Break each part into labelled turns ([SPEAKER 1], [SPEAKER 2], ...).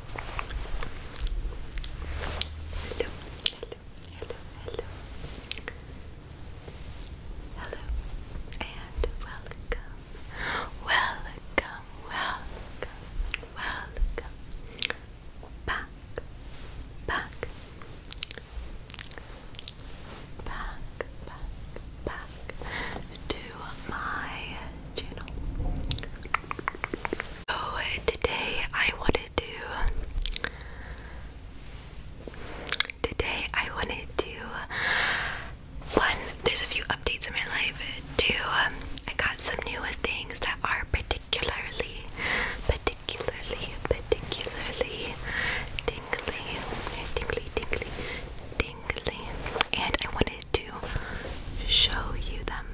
[SPEAKER 1] Hello, hello, hello, hello, and welcome, welcome, welcome, welcome back, back, back, back, back to my channel. So oh, today I wanted to today I wanted to one there's a few updates in my life. Two um, I got some new things that are particularly particularly particularly tingly tingly tingly tingly and I wanted to show you them.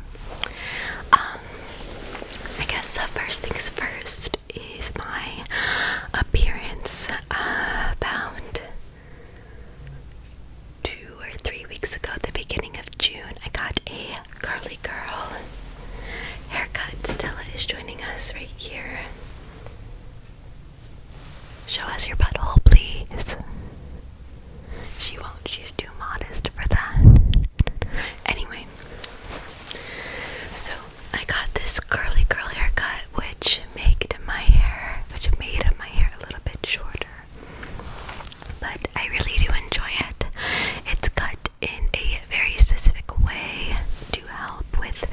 [SPEAKER 1] Um I guess the first things first is my appearance uh, about two or three weeks ago, at the beginning of June. I got a curly girl haircut. Stella is joining us right here. Show us your butthole, please. She won't, she's too modest for that. Anyway, so I got this curly curl haircut which made my hair which made my hair a little bit shorter. But I really do enjoy it. It's cut in a very specific way to help with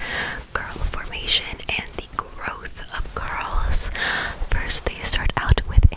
[SPEAKER 1] curl formation and the growth of curls. First they start out with a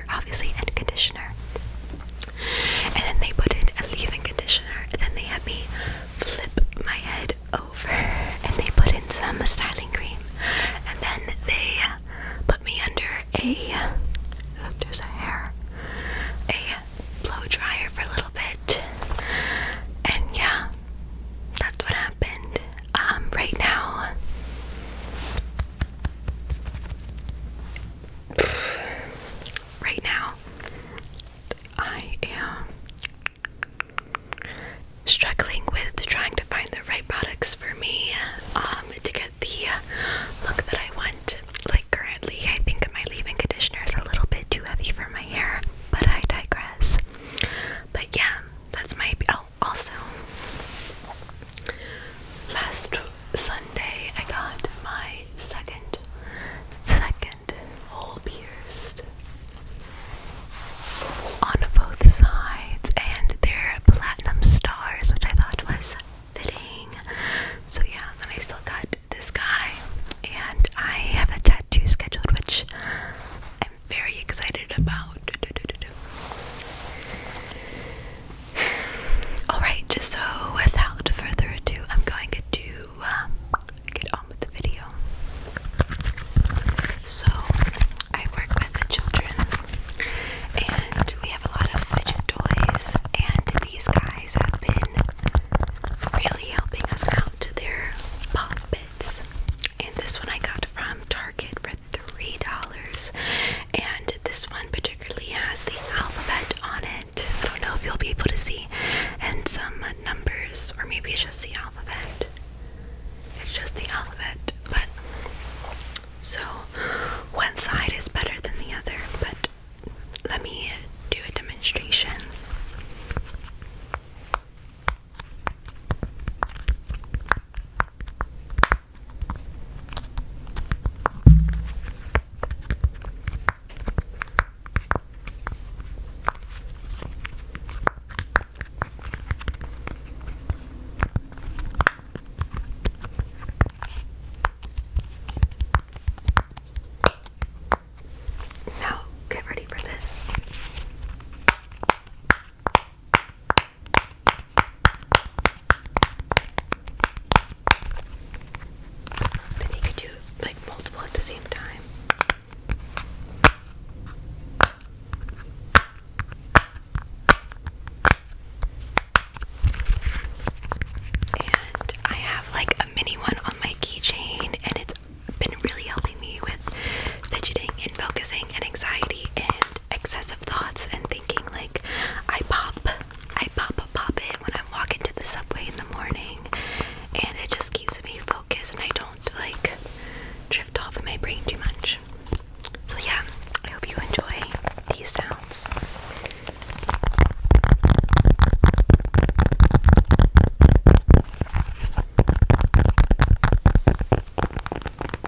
[SPEAKER 1] obviously, and conditioner. And then they put in a leave-in conditioner. And then they had me flip my head over, and they put in some styling cream. And then they put me under a oh, there's a hair, a blow dryer for a little bit. And yeah, that's what happened. Um, right now, right now, I am struggling with trying to find the right products for me um, to get the look that I want. Like, currently, I think my leave in conditioner is a little bit too heavy for my hair, but I digress. But yeah, that's my also, last Sunday I got my second, second hole pierced on both sides, and they're platinum stars, which I thought was fitting. So yeah, then I still got this guy, and I have a tattoo scheduled, which I'm very excited about. Alright, just so without further ado, I'm going to um, get on with the video. So, I work with the children, and we have a lot of fidget toys, and these guys have been really helping us out. to their pop bits, and this one I got from Target for three dollars and this one particularly has the alphabet on it I don't know if you'll be able to see and some numbers or maybe it's just the alphabet it's just the alphabet but so one side is better than the other but let me do a demonstration now, get ready for this. Then you could do like multiple at the same time. And I have like a mini one on my keychain, and it's been really helping me with fidgeting and focusing and anxiety and excessive thoughts and thinking like I pop I pop a pop it when I'm walking to the subway in the morning and it just keeps me focused and I don't like drift off of my brain too much. So yeah, I hope you enjoy these sounds.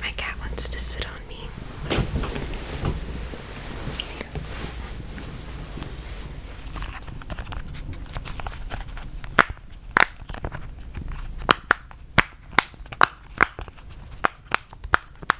[SPEAKER 1] My cat wants to sit on me.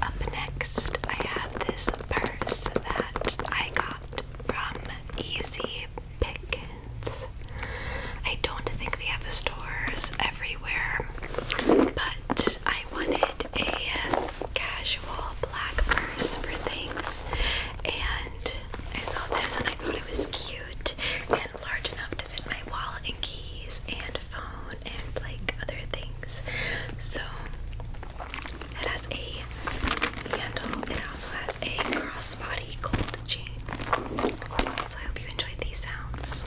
[SPEAKER 1] Up next, I have this purse that I got from Easy Pickens. I don't think they have the stores everywhere, but I wanted a casual black purse for things, and I saw this and I thought it was cute and large enough to fit my wallet and keys and phone and like other things. So it has a handle. It also has a crossbody gold chain. So I hope you enjoyed these sounds.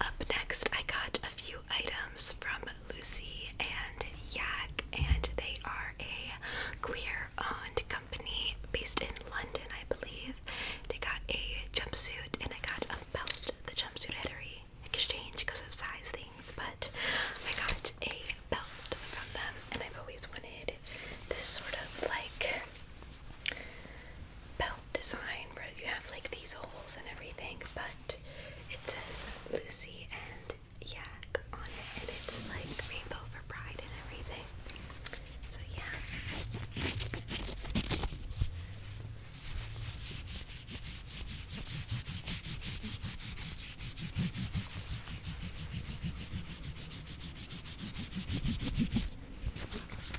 [SPEAKER 1] Up next, I got a few items from Lucy and Yak, and they are a queer owned company based in London, I believe. They got a jumpsuit and I got a belt, the jumpsuit had at exchange because of size things, but I got a belt from them, and I've always wanted this sort of like belt design where you have like these holes and everything, but it says Lucy and Yak on it, and it's like rainbow for pride and everything. So, yeah.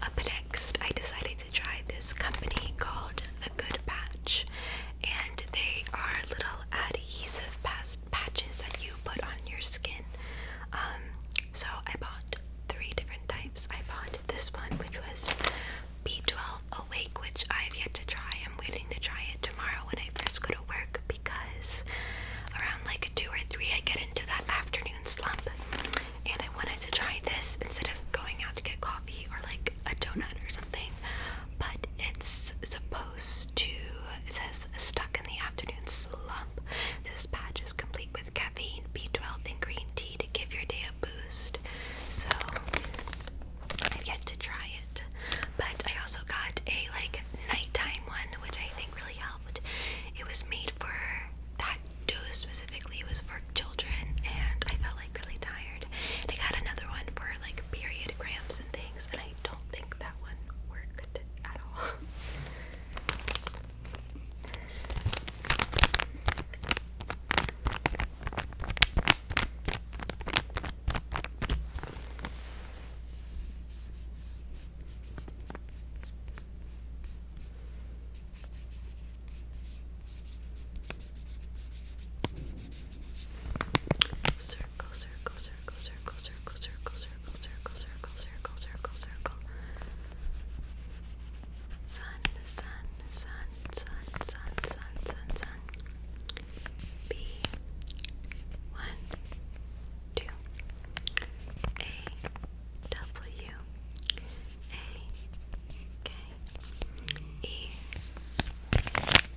[SPEAKER 1] Up next, I decided to try this company called The Good Path and they are little adhesive past patches that you put on your skin. Um, so I bought three different types. I bought this one, which was B12 Awake, which I've yet to try. I'm waiting to try it tomorrow when I first go to work because around like two or three, I get into that afternoon slump, and I wanted to try this instead of going out to get coffee or like a donut or something, but it's supposed to. It says stuck in the afternoon slump. This patch is complete with caffeine, B12, and green tea to give your day a boost. So I've yet to try it, but I also got a like nighttime one, which I think really helped. It was made for that dose specifically. It was for children, and I felt like really tired. And I got another one for like period cramps and things things, and I don't think that one worked at all circle, circle, circle, circle, circle, circle, circle, circle, circle, circle, circle, circle. Sun, sun, sun, sun, sun, sun, sun, sun. B. One, two. A. W. A. K. E.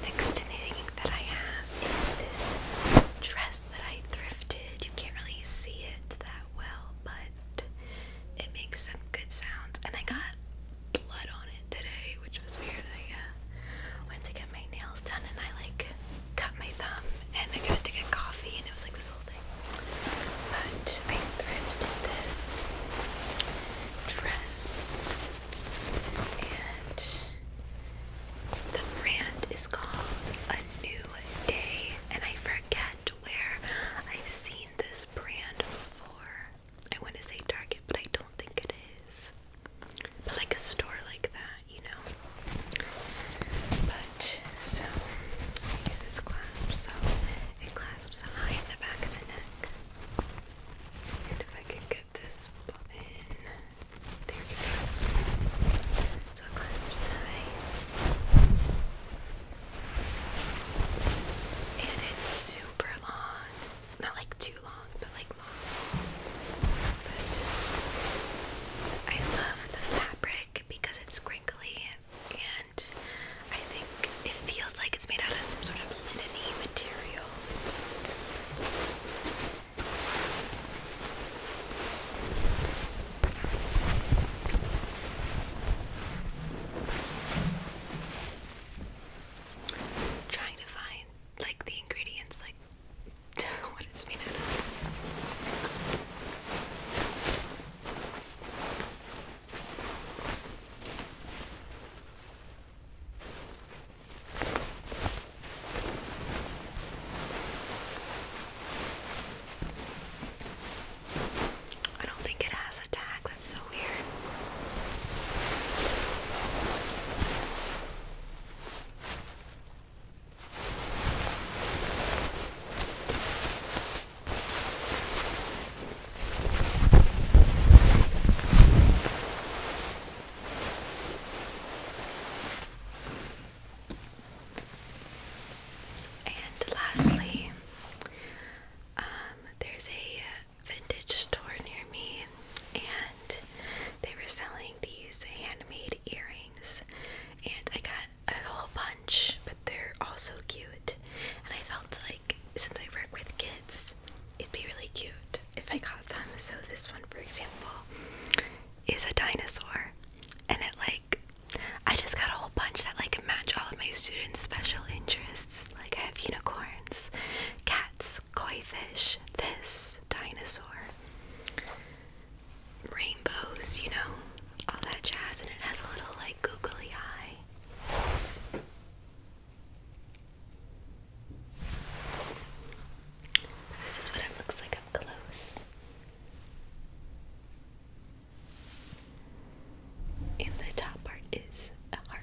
[SPEAKER 1] The next thing that I have is this dress that I thrifted. You can't really see it well, but it makes some good sounds. And I got blood on it today, which was weird. I uh, went to get my nails done and I like cut my thumb and I got to get coffee and it was like this whole thing. But I thrifted this dress and the brand is called A New Day and I forget to I've seen this brand before. I want to say Target, but I don't think it is. But like a store like that, you know. But so I do this so it clasps high in the back of the neck. And if I could get this button, there we go. So clasps high. And it's super long. Not like too long, but like long. But I love the fabric because it's crinkly and I think it feels like it's made out of some sort of linen material trying to find like the ingredients, like what it's made out of. I don't think it has that's so weird. And lastly, um, there's a vintage store near me, and they were selling these handmade earrings, and I got a whole bunch, but they're all so cute. And I felt like since I work with kids, it'd be really cute if I got them. So this one, for example, is a dinosaur, and it like I just got a whole bunch that like match all of my students' special interests. Like I have unicorns, cats, koi fish, this dinosaur, rainbows, you know, all that jazz, and it has a little like googly eye. This is what it looks like up close. In the top part is a heart.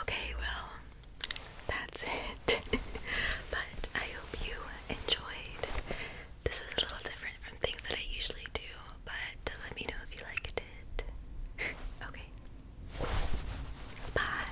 [SPEAKER 1] Okay, well, that's it. but I hope you enjoyed. This was a little different from things that I usually do, but let me know if you liked it. okay. Bye.